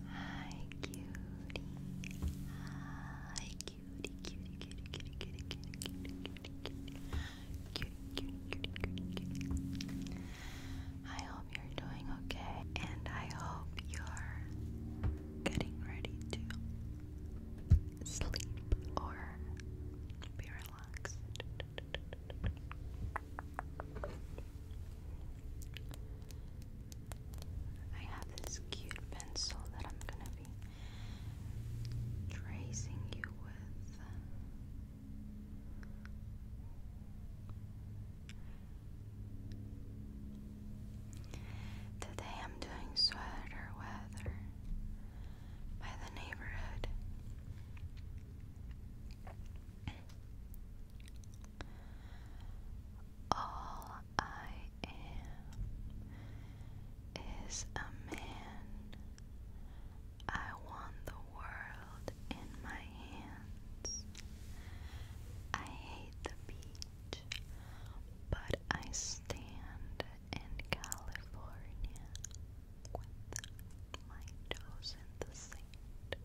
Hi, cutie. Hi, cutie, cutie, cutie, cutie, cutie, cutie, cutie, cutie, cutie, cutie, cutie, cutie, I hope you're doing okay, and I hope you're getting ready to sleep or be relaxed. I have this cute pencil that I'm gonna be tracing you with. Today I'm doing sweater weather by the neighborhood. All I am is a man. I want the world in my hands. I hate the beach, but I stand in California with my toes in the sand.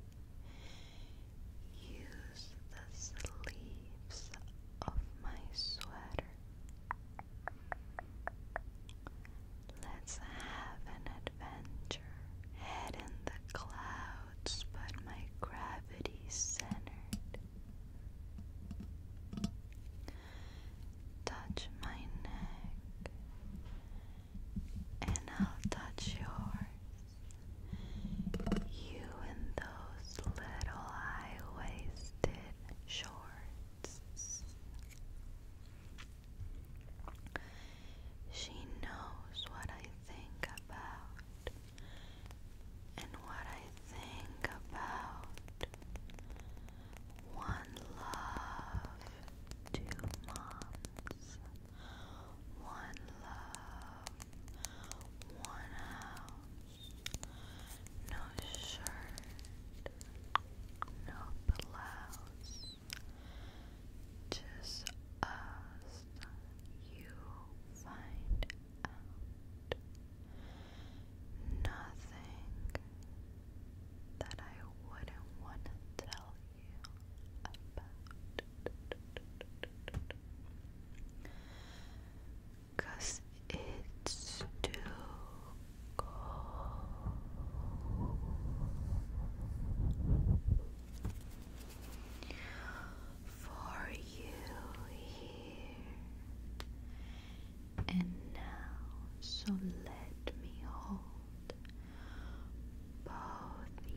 Use the sleeves of my sweater. Let's have an adventure. Head in the clouds, but my gravity centered. Touch my neck and I'll touch yours. You and those little high waisted shorts. She knows what I think about, and what I think about. One love, two moms one love, one house, no shirt, no blouse, just us, you find out nothing that I wouldn't want to tell Cause it's too cold. For you here and now, so let me hold both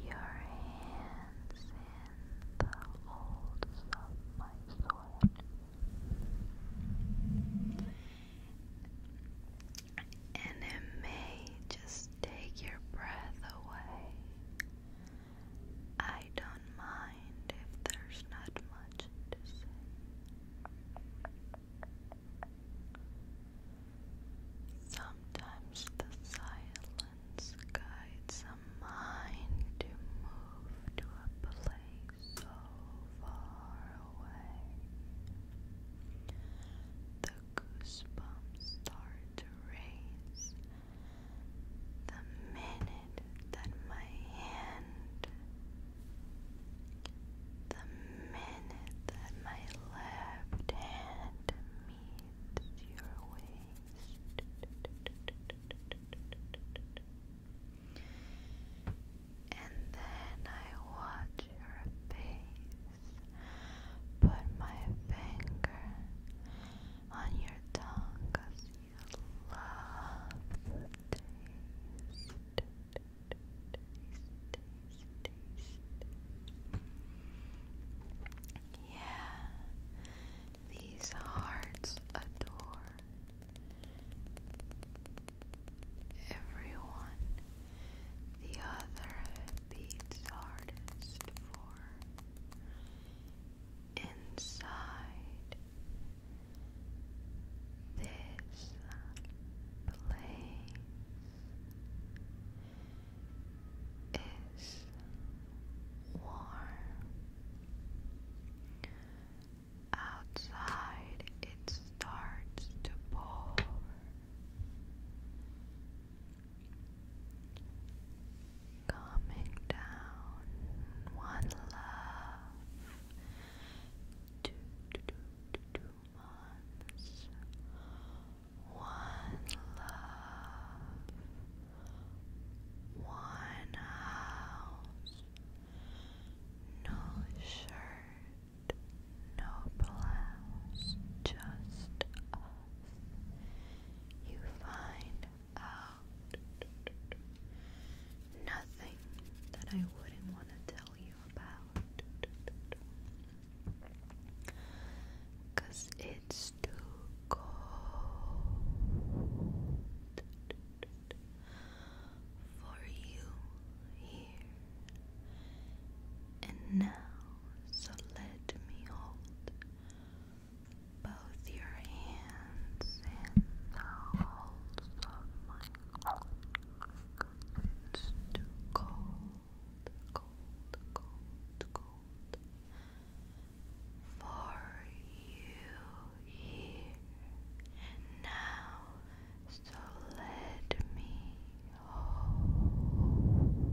your hands in the folds of my sword. And it may just take your breath away. I don't mind if there's not much to say. Sometimes the silence guides a mind to move to a place so far away. The goosebumps start to raise the minute that my hand, minute that my left hand meets your waist, and then I watch your face, put my finger on your tongue because you love taste, taste, Yeah, these hearts adore everyone. The other beats hardest for inside this place is warm. Outside it starts to pour. Coming down one love. One love, one house, no shirt, no blouse, just us. You find out nothing that I wouldn't want to tell you about. Cause it's too cold for you here and now. So let me hold both your hands and the holes of my it's too cold, cold, cold, cold for you here and now. So let me hold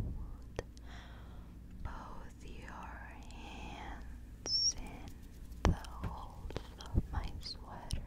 both your hands in the holes of my sweater.